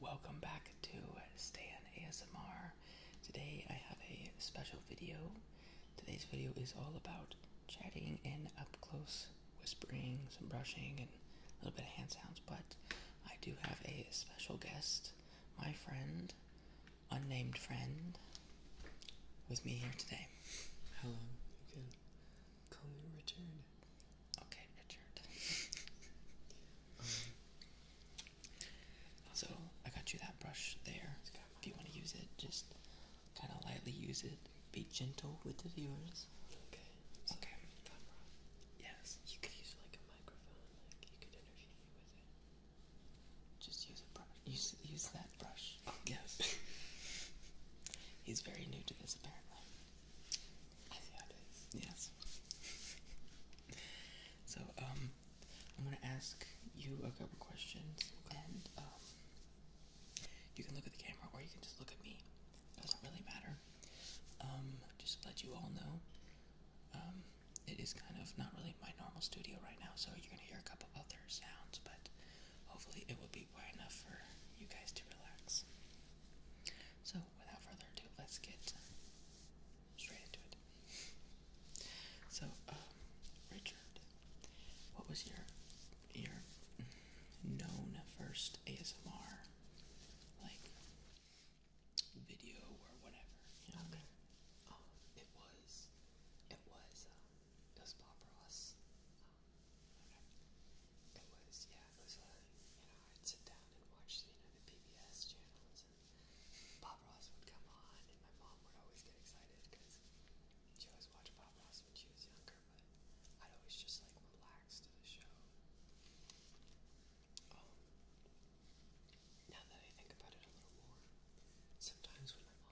Welcome back to Stan ASMR. Today I have a special video. Today's video is all about chatting in up close whispering, some brushing, and a little bit of hand sounds. But I do have a special guest, my friend, unnamed friend with me here today. Hello, you can call me Richard. Okay, Richard. Um, so I got you that brush there. If you want to use it, just kind of lightly use it. Be gentle with the viewers. Okay. okay. Yes. You could use like a microphone, like you could interview me with it. Just use that brush. Yes. He's very new to this, apparently. I see how it is. Yes. so, um, I'm gonna ask you a couple questions, and um, you can look at the camera or you can just look at me. doesn't really matter. Um, just let you all know, it is kind of not really my normal studio right now, so you're gonna hear a couple of sounds, but hopefully it will be quiet enough for you guys to relax. So, without further ado, let's get straight into it. So, um, Richard, what was your your known first ASMR like video or whatever? You know oh, it was it was uh, it was Bob Ross. Um, okay. It was, yeah, it was when, you know, I'd sit down and watch, you know, the PBS channels, and Bob Ross would come on, and my mom would always get excited because she always watched Bob Ross when she was younger, but I'd always just, like, relax to the show. Um, now that I think about it a little more, sometimes when my mom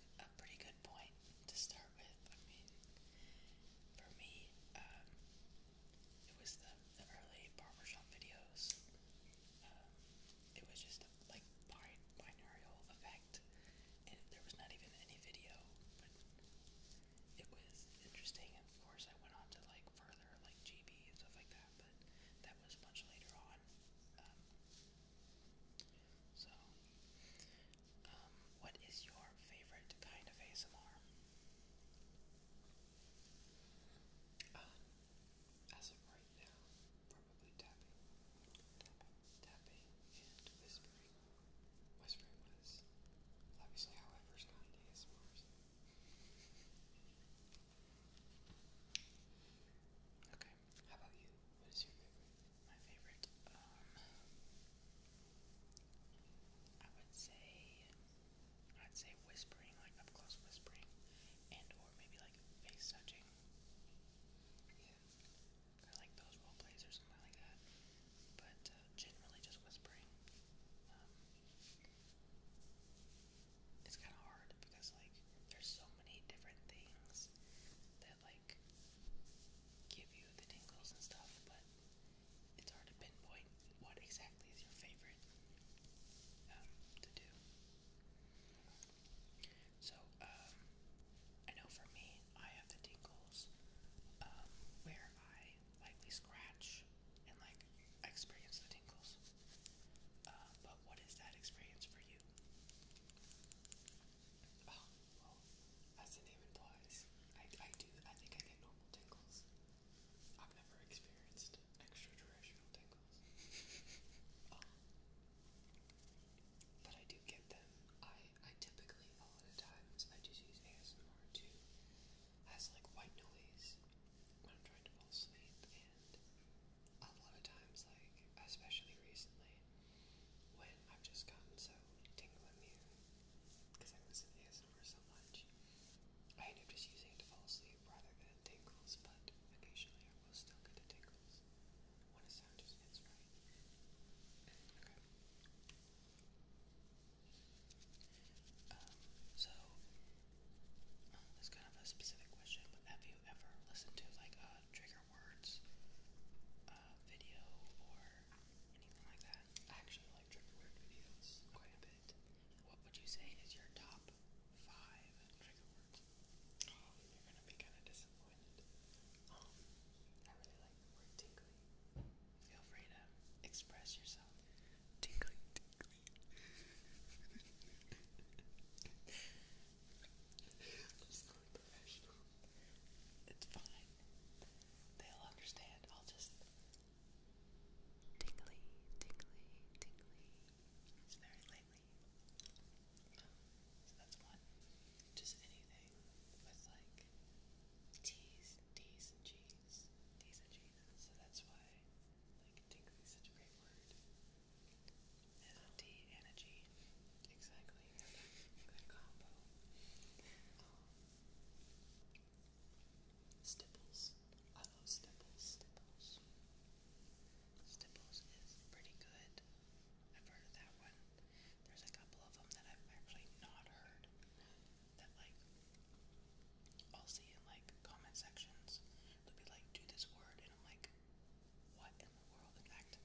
a, pretty good point to start with. I mean, for me, um, it was the, the early barbershop videos. Um, it was just a, like bi binaural effect. It, there was not even any video, but it was interesting. Of course, I went on to like further like GB and stuff like that, but that was much later on. Um, so, um, what is your favorite kind of ASMR? Uh, as of right now, probably tapping, tapping, and whispering. Whispering was obviously how I first got ASMR. Okay. How about you? What is your favorite? My favorite, um, I would say, I'd say whispering, like up close whispering, and or maybe like face touching. Yeah. like those role plays or something like that. But uh, generally just whispering. Um, it's kind of hard because like there's so many different things that like give you the tingles and stuff, but it's hard to pinpoint what exactly is your favorite um, to do. So, um, I know for me, I have the tingles um, where I lightly scratch and like experience the tingles. Uh, but what is that experience for you? Oh, well, oh, as the name implies, I, I do, I think I get normal tingles. I've never experienced extraterrestrial tingles. Oh. but I do get them. I, I typically, a lot of times, I just use ASMR too as like white noise when I'm trying to fall asleep and a lot of times, like, especially recently, when I've just gotten so tingle immune because I listen to ASMR so much. I end up just using it to fall asleep rather than tingles, but occasionally I will still get the tingles when a sound just hits right. Okay. Um, so, that's kind of a specific question, have you ever listened to like a trigger words uh, video or anything like that? I actually like trigger word videos quite a bit. What would you say is your top five trigger words? Oh, you're gonna be kind of disappointed. Um, I really like the word tingly. Feel free to express yourself. Tingly, tingly. I'm It's fine. They'll understand. I'll just tingly, tingly, tingly. It's very lately. So that's one. Just anything with like teas, teas and cheese, teas and cheese. So that's why like tingly is such a great word empty energy. Exactly. Good combo. Um, I love Stipples. Stipples. is pretty good. I've heard of that one. There's a couple of them that I've actually not heard that like I'll see in like comment sections. they be like, do this word and I'm like, what in the world? In fact,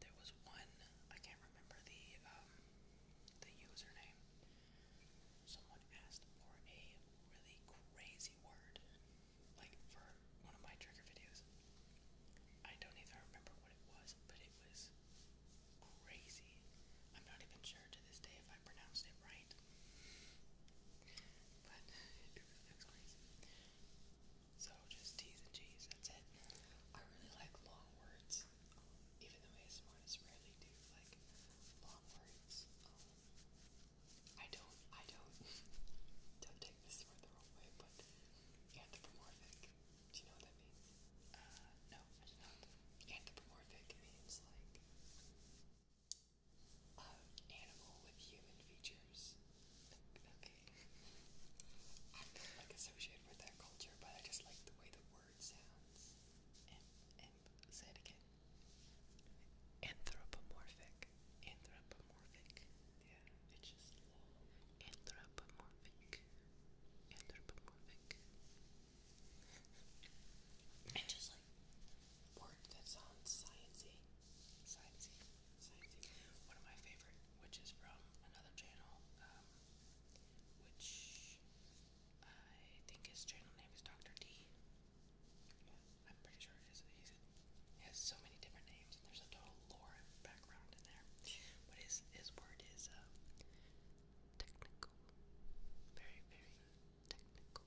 there was one I can't remember the um, the username. Someone asked for a really crazy word, like for one of my trigger videos. I don't even remember what it was, but it was crazy. I'm not even sure to this day if I pronounced it right. So just T's and G's, that's it. I really like long words, even though ASMRists rarely do like long words. Um, I don't, I don't, don't take this word the wrong way, but anthropomorphic, do you know what that means? Uh, no, I do not. Anthropomorphic means like, uh, animal with human features. Okay. I'm not like associated with that culture, but I just like the way the word sounds. say it again. Anthropomorphic. Anthropomorphic. Yeah, it's just Anthropomorphic. Anthropomorphic. and just like word that sounds sciencey. Sciencey. One of my favorite, which is from another channel, um, which I think his channel name is Dr. D. am pretty sure it is. he has so many different names, and there's a total lore background in there. But his, his word is uh, technical. Very, very technical.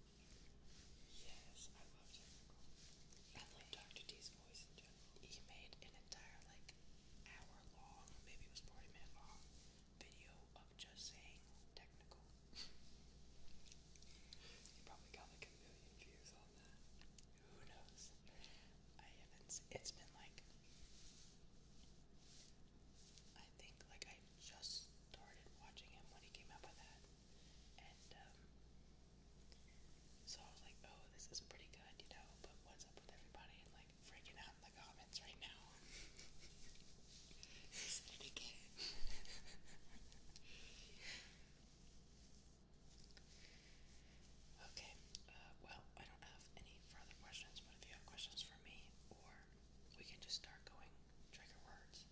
Yes, I love technical. I Dr. D's he made an entire like hour long, maybe it was 40 minute long video of just saying technical. you probably got like a million views on that. Who knows? I haven't. It's been like. I think like I just started watching him when he came out with that, and um, so I was like, oh, this is pretty good, you know, but what's up with everybody like freaking out in the comments right now? okay, uh, well, I don't have any further questions, but if you have questions for me, or we can just start going trigger words.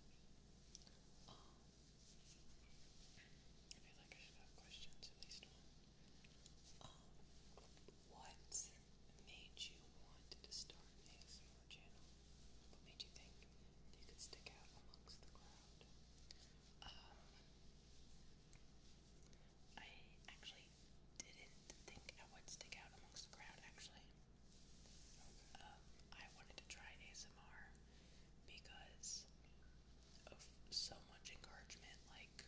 Um, I feel like I should have questions, at least one. what made you want to start an ASMR channel? What made you think you could stick out amongst the crowd? I actually didn't think I would stick out amongst the crowd, actually. I wanted to try ASMR because of so much encouragement like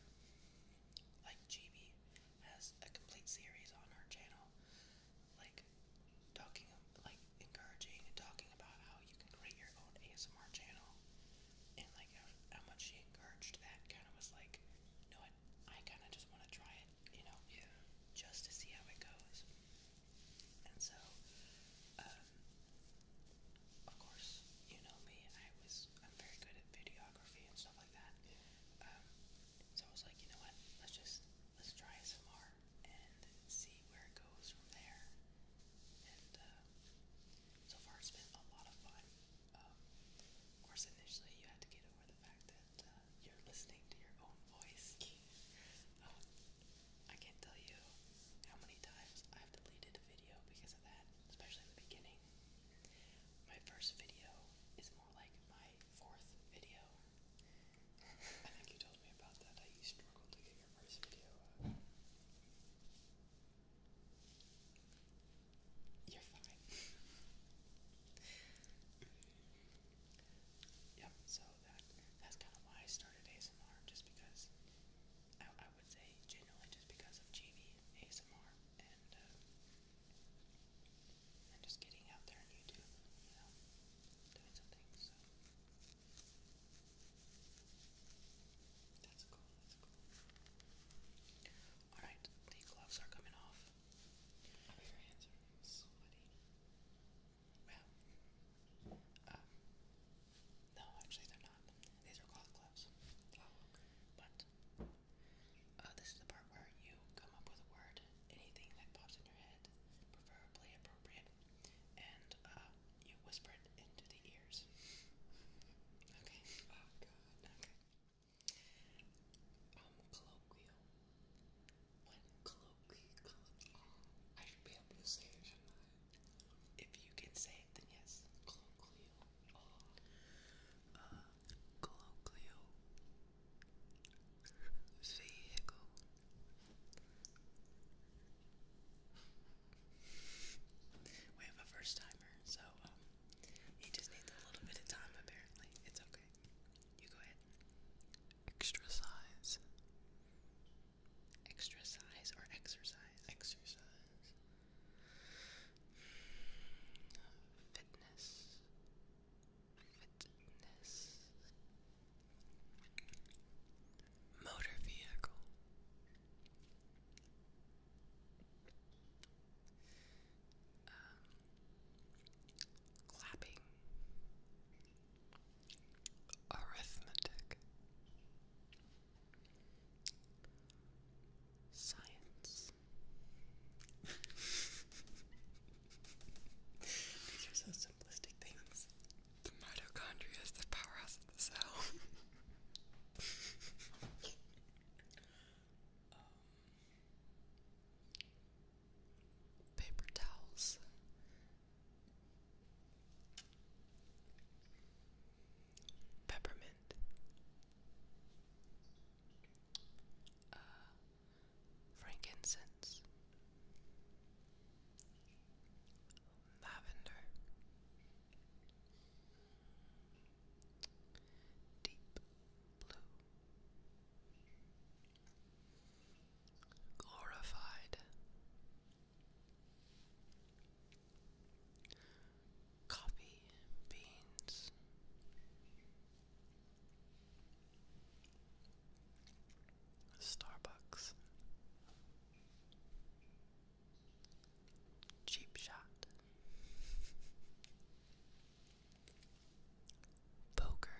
like GB has a complete series on her channel like talking like encouraging and talking about how you can create your own ASMR channel and like how, much she encouraged that kind of was like you know I kind of just want to try it you know just to see how it goes and so uh, um, of course, you know me. I was I'm very good at videography and stuff like that. Um, so I was like, you know what? Let's just let's try SMR and see where it goes from there. And uh, so far, it's been a lot of fun. Um, of course, initially you had to get over the fact that uh, you're listening to your own voice. Um, I can't tell you how many times I've deleted a video because of that, especially in the beginning. My first video is more like my fourth video. I think you told me about that. I struggled to get your first video You're fine. yep, so that that's kind of why I started ASMR, just because I, I would say genuinely just because of GB ASMR and uh, and just getting out there on YouTube, you know, doing some things. So that's cool. That's cool. All right, the gloves are coming off. Your hands are sweaty. Well, uh, no, actually they're not. These are cloth gloves. Oh, but uh, this is the part where you come up with a word, anything that pops in your head, preferably appropriate, and uh, you whisper it into the ears. okay. Oh God. Okay. Um, colloquial. What? Colloquial. I should be able to say it, shouldn't I? If you can say it, then yes. Colloquial. Oh. Uh, colloquial. Vehicle. We have a first timer, so um, he just needs a little bit of time apparently. It's okay. You go ahead. Extra size. Exercise or exercise? Exercise. Fitness. Fitness. Motor vehicle. Um, clapping arithmetic, science. These are so simplistic things. The mitochondria is the powerhouse of the cell. paper towels, Peppermint. Uh, frankincense. Lavender. Deep blue. Glorified coffee beans. Starbucks. Cheap shot. Poker.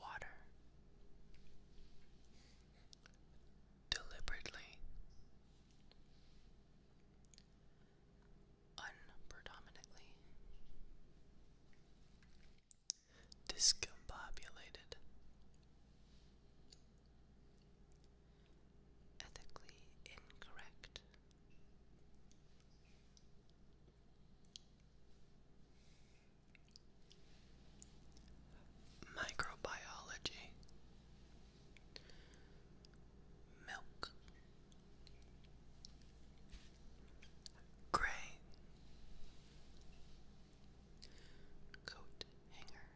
Water. Deliberately. Unpredominantly. Discombobulated. Ethically incorrect. Microbiology Milk Gray Coat hanger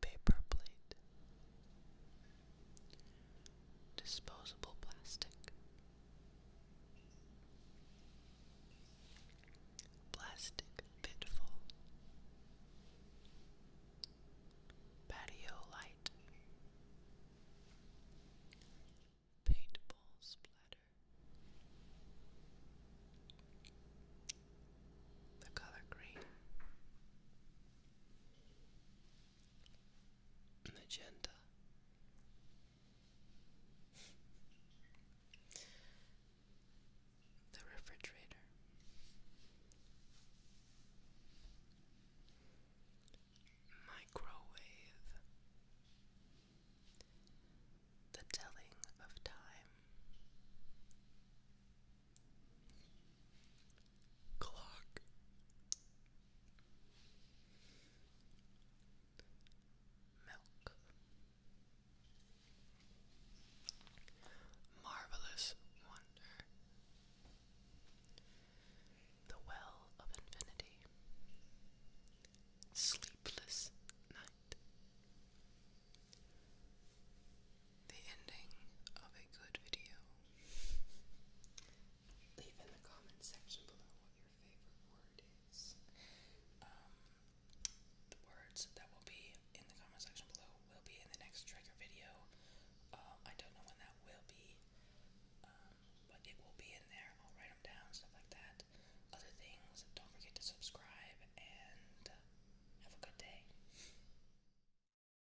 Paper plate disposable plastic, plastic pitfall, patio light, paintball splatter. The color green, agenda. The refrigerator. Microwave. The telling of time. Clock. Milk. Marvelous wonder. The well of infinity. Sleepless night the ending of a good video. Leave in the comment section below what your favorite word is. Um, the words that will be in the comment section below will be in the next trigger video. Um, I don't know when that will be, um, but it will be in there. I'll write them down, stuff like that. Other things, don't forget to subscribe and uh, have a good day.